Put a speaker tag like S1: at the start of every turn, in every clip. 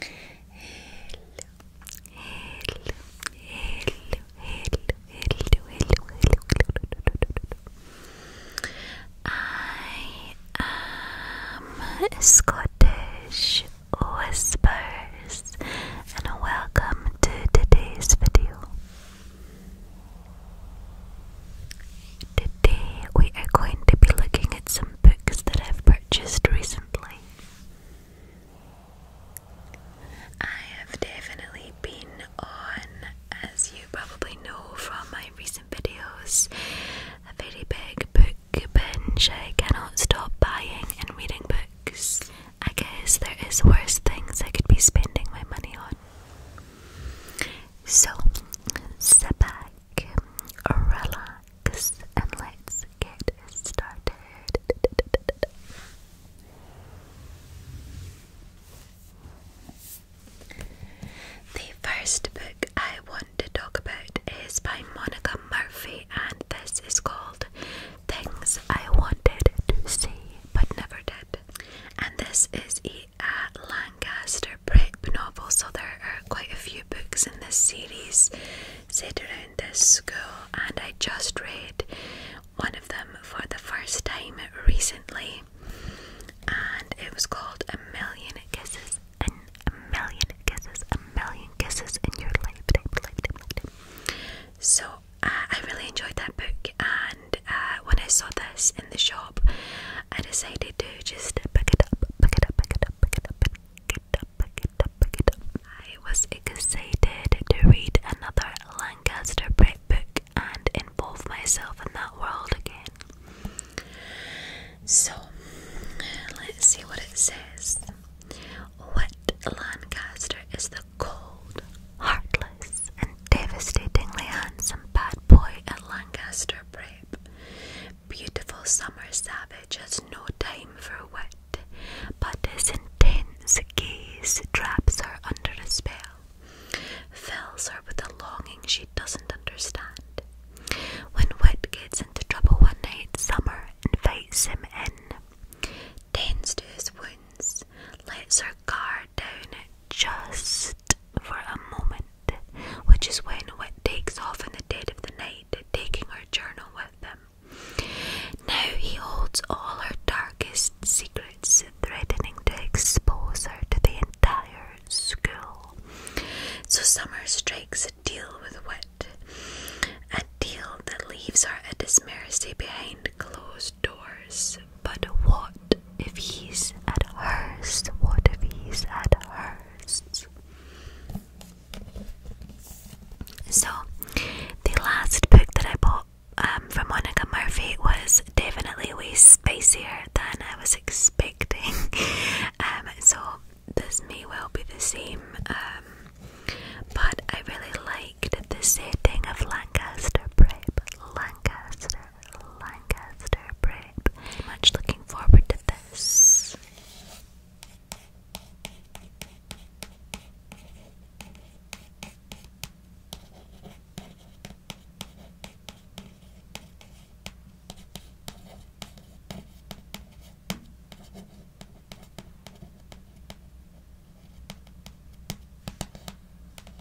S1: hello. I am Scottish Whispers, and welcome to today's video. Today we are going to be looking at some books that I've purchased recently. I have definitely been on, as you probably know from my recent videos, a very big book binge. I cannot stop buying and reading books. I guess there is worse things I could be spending my money on. So, sit back, relax and let's get started. The first book I want to talk about is by Monica Murphy, and this is called Things I Wanted to See But Never Did. And this is a Lancaster Prep novel, so there are quite a few books in this series set around this school, and I just read one of them for the first time recently, and it was called A Million Kisses and A Million Kisses, A Million Kisses in Your Life. So uh, I really enjoyed that book, and uh, when I saw this in the shop, I decided to just pick it up, pick it up, pick it up, pick it up, pick it up, pick it up, pick it up. I was excited to read another Lancaster Prep book and involve myself in that world again. So, let's see what it says. What Lancaster is the cold, heartless, and devastatingly handsome bad boy at Lancaster Prep, Beautiful summer savage has no time for wet, but his intense gaze traps her under a spell, fills her with a longing she doesn't understand. When wet gets into trouble one night, Summer invites him in, tends to his wounds, lets her guard down just for a moment, which is when Wit takes off in the dead of the night, taking her journal with him. Now he holds all her darkest secrets, threatening to expose her to the entire school. So Summer strikes a deal with Wit, a deal that leaves her a his mercy behind closed doors. But what if he's at hers? What if he's at hers? So, the last book that I bought um, from Monica Murphy was definitely way spicier than I was expecting. Um, so, this may well be the same, um, but I really liked the setting of Lancaster Prep. Lancaster Lancaster Prep. Much looking forward to this.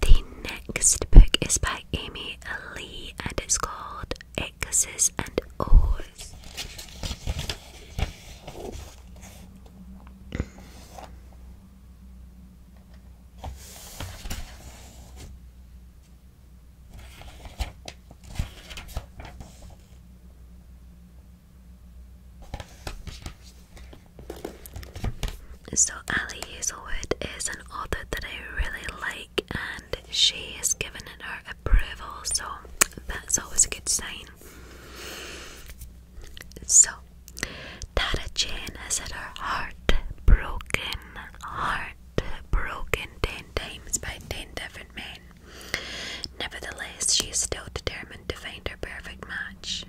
S1: The next book is by Amy Lee and it's called X's and O's. So, Ali Hazelwood is an author that I really like, and she has given it her approval, so that's always a good sign. So, Tara Jane has had her heart broken, heart broken ten times by ten different men. Nevertheless, she is still determined to find her perfect match.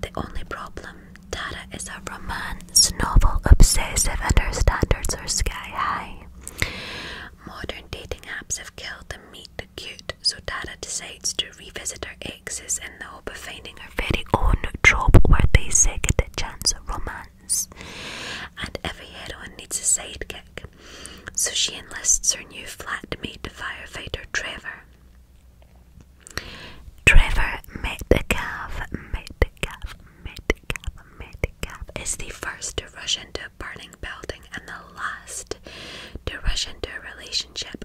S1: The only problem, Tara is a romance novel obsessive and her standards are sky high. Modern dating apps have killed the meat cute, so Tara decides to revisit her exes in the hope of finding her very own trope-worthy second-chance of romance. And every heroine needs a sidekick, so she enlists her new flatmate, firefighter Trevor. Trevor Metcalf, Metcalf, Metcalf, Metcalf is the first to rush into a burning building and the last to rush into a relationship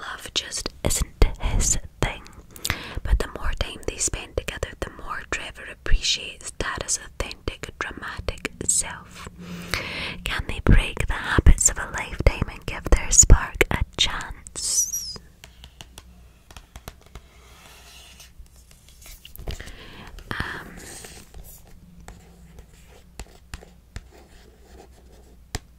S1: Love just isn't his thing. But the more time they spend together, the more Trevor appreciates that Tara's authentic, dramatic self. Can they break the habits of a lifetime and give their spark a chance? Um,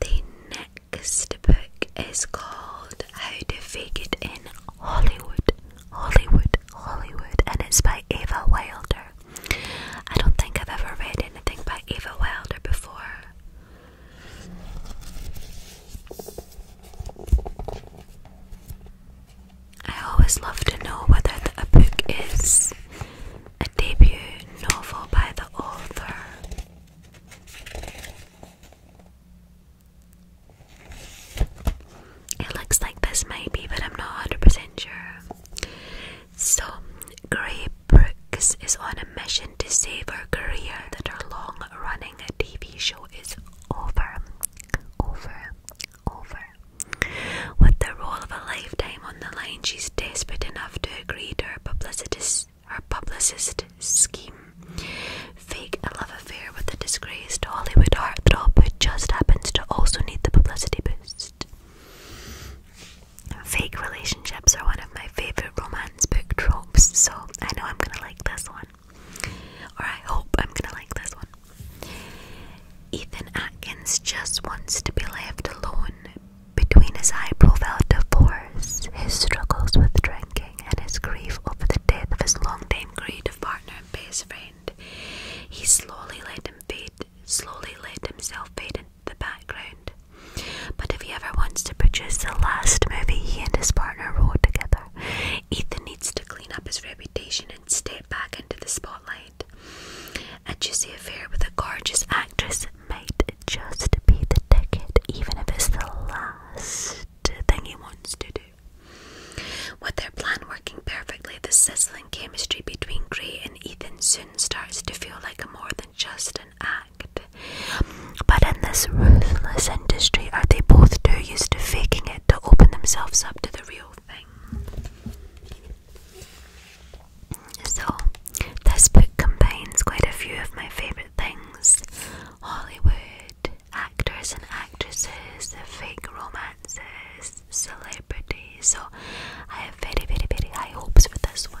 S1: The next book is called How to Figure It in Hollywood, Hollywood, Hollywood, and it's by Ava Wilder. I don't think I've ever read anything by Ava Wilder before. I always love to know whether the, a book is a debut novel by the author. It looks like this might be, but I'm not 100% sure. So, Grey Brooks is on a mission to save her career that her long running TV show is over. Over. Over. With the role of a lifetime on the line, she's desperate enough to agree to her publicist scheme. Fake a love affair with a disgraced Hollywood heartthrob who just happens to also need the publicity boost. Fake relationships are one of my favourite romance book tropes, so I know I'm gonna like this one. Or I hope I'm gonna like this one. Ethan Atkins just wants to be left alone. Between his high profile divorce, his struggles with drinking, aching his grief over the death of his long-time creative partner and best friend. He slowly let fade, slowly let himself fade into the background. But if he ever wants to produce the last movie he and his partner wrote together, Ethan needs to clean up his reputation and step back into the spotlight. And see A juicy affair with a gorgeous actress might just be the ticket, even if it's the last thing he wants to do. With their plan working perfectly, the sizzling chemistry between Gray and Ethan soon starts to feel like more than just an act. But in this ruthless industry, are they both too used to faking it to open themselves up to the real thing? So, this book combines quite a few of my favourite things Hollywood, actors and actresses, fake romances, celebrities. So I have very, very, very high hopes for this one.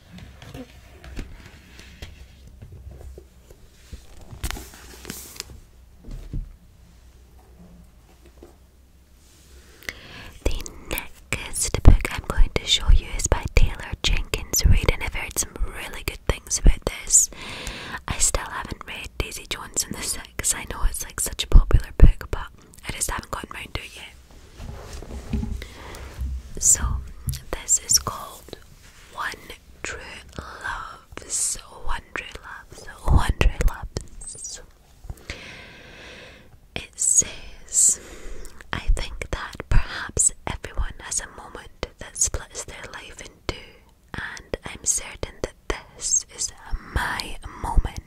S1: The next book I'm going to show you is by Taylor Jenkins Reid, and I've heard some really good things about this. I still haven't read Daisy Jones and the Six. I know it's like such a popular book, but I just haven't gotten round to it yet. So, this is called One True Loves. One True Loves. One True Loves. It says, I think that perhaps everyone has a moment that splits their life in two, and I'm certain that this is my moment.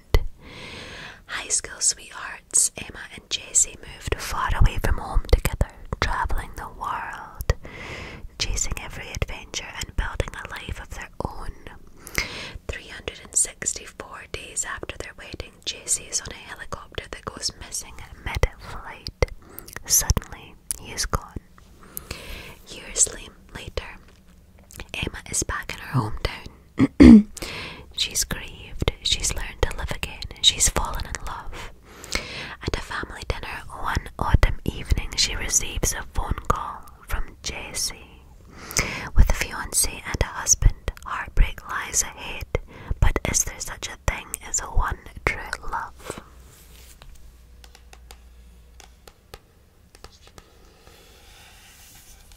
S1: High school sweethearts Emma and Jesse moved far away from home together, traveling the world, chasing every adventure and building a life of their own. 364 days after their wedding, Jesse is on a helicopter that goes missing mid flight. Suddenly, he is gone. Years later, Emma is back in her hometown. she's grieved, she's learned to live again, she's fallen in love. At a family dinner one autumn evening, she receives a phone call from JC. With a fiancé and a husband, heartbreak lies ahead, but is there such a thing as a one true love?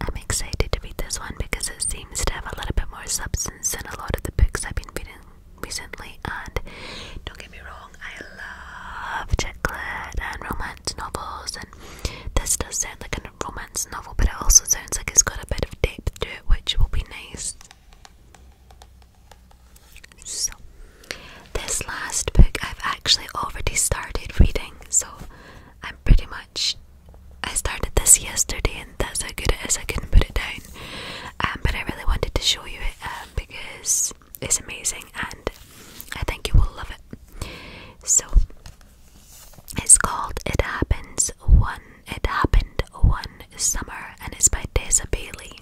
S1: I'm excited to read this one because it seems to have a little bit more substance than a lot of the books I've been reading recently. And don't get me wrong, I love chick lit and romance novels, and this does sound like a romance novel, but it also sounds like it's got a bit of depth to it, which will be nice. So, this last book I've actually already started reading, so I'm pretty much. I started this yesterday, and that's how good it is. I couldn't put it down, um, but I really wanted to show you it um, because it's amazing, and I think you will love it. So, it's called It Happens One It Happened One Summer and it's by Tessa Bailey.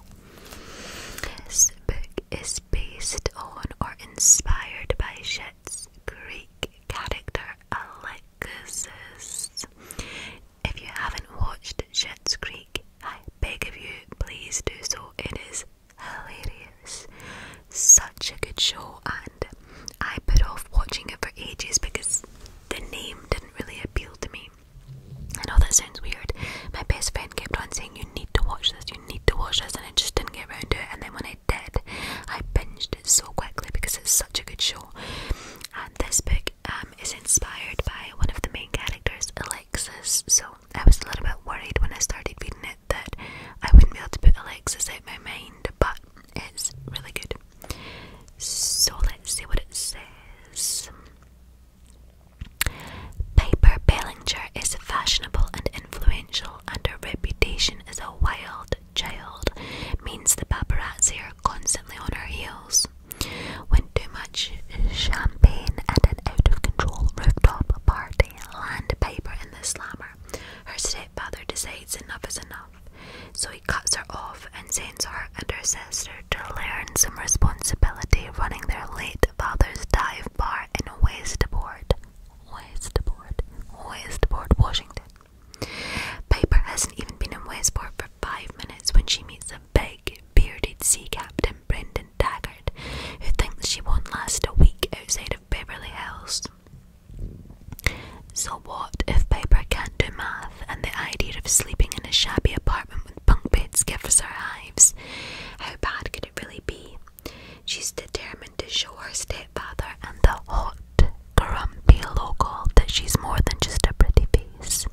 S1: This book is based on or inspired by Schitt's Greek character Alexis. If you haven't watched Schitt's Greek, I beg of you, please do so. It is hilarious. Such a good show and I put off watching it for ages because the name didn't really appeal to me. I know that sounds weird. My best friend kept on saying, You need to watch this, you need to watch this, and I just didn't get around to it. And then when I did, I binged it so quickly because it's such a good show. And this book um, is inspired by one of the main characters, Alexis. So I was a little bit worried when I started reading it that I wouldn't be able to put Alexis out of my mind, but is really good. So let's see what it says. Paper Bellinger is fashionable and influential, and her reputation as a wild child means the paparazzi are constantly on her heels. When too much champagne and an out of control rooftop party land paper in the slammer, her stepfather decides enough is enough so he cuts her off and sends her and her sister to learn some responsibility running their late father's dive bar in Westport, Westport, Westport, Washington. Piper hasn't even been in Westport for five minutes when she meets a big, bearded sea captain, Brendan Taggart, who thinks she won't last a week outside of Beverly Hills. So what if Piper can't do math and the idea of sleeping in a shabby apartment with bunk beds gives her hives? How bad could it really be? She's determined to show her stepfather and the hot, grumpy local that she's more than just a pretty face.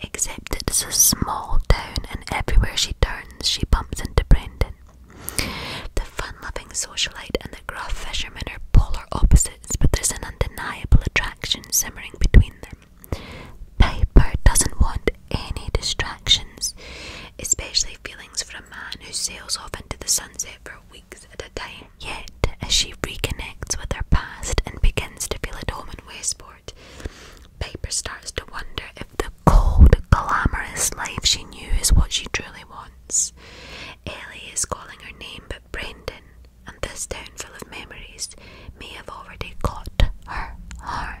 S1: Except it's a small town and everywhere she turns she bumps into Brandon. The fun loving socialite and the gruff fisherman are polar opposites, but there's an undeniable attraction simmering between them. Piper doesn't want any distractions, especially feelings for a man who sails off into the sunset for weeks at a time. Yet, as she reconnects with her past and begins to feel at home in Westport, Piper starts to wonder if the cold, glamorous life she knew is what she truly wants once. is calling her name, but Brandon and this town full of memories may have already caught her heart.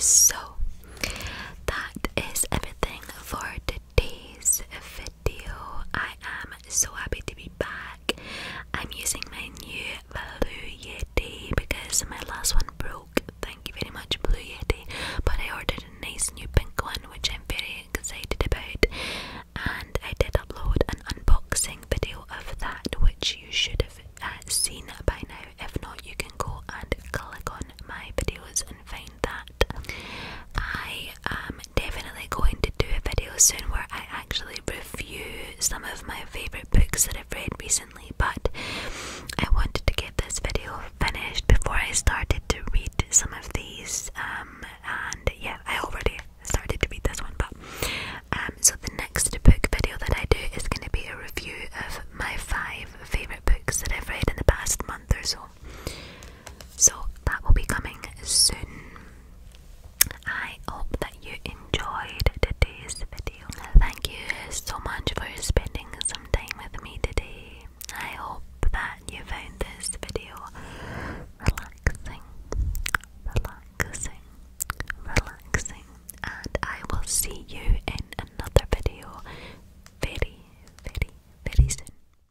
S1: So that is everything for today's video video. I am so happy to be back. I'm using my new Blue Yeti because my last one broke. Thank you very much, Blue Yeti. But I ordered a nice new pink one, which I'm very excited about. And I did upload an unboxing video of that, which you should have uh, seen by now. If not, you can go and click on my videos and find that. I am definitely going to do a video soon where I actually review some of my favourite books that I've read recently, but I wanted to get this video finished before I started to read some of these. Um, and yeah, I already started to read this one, but um, so the next book video that I do is going to be a review of my five favourite books that I've read in the past month or so. So that will be coming soon. I hope that you enjoyed today's video. Thank you so much for spending some time with me today. I hope that you found this video relaxing, relaxing, relaxing, and I will see you in another video very, very, very soon.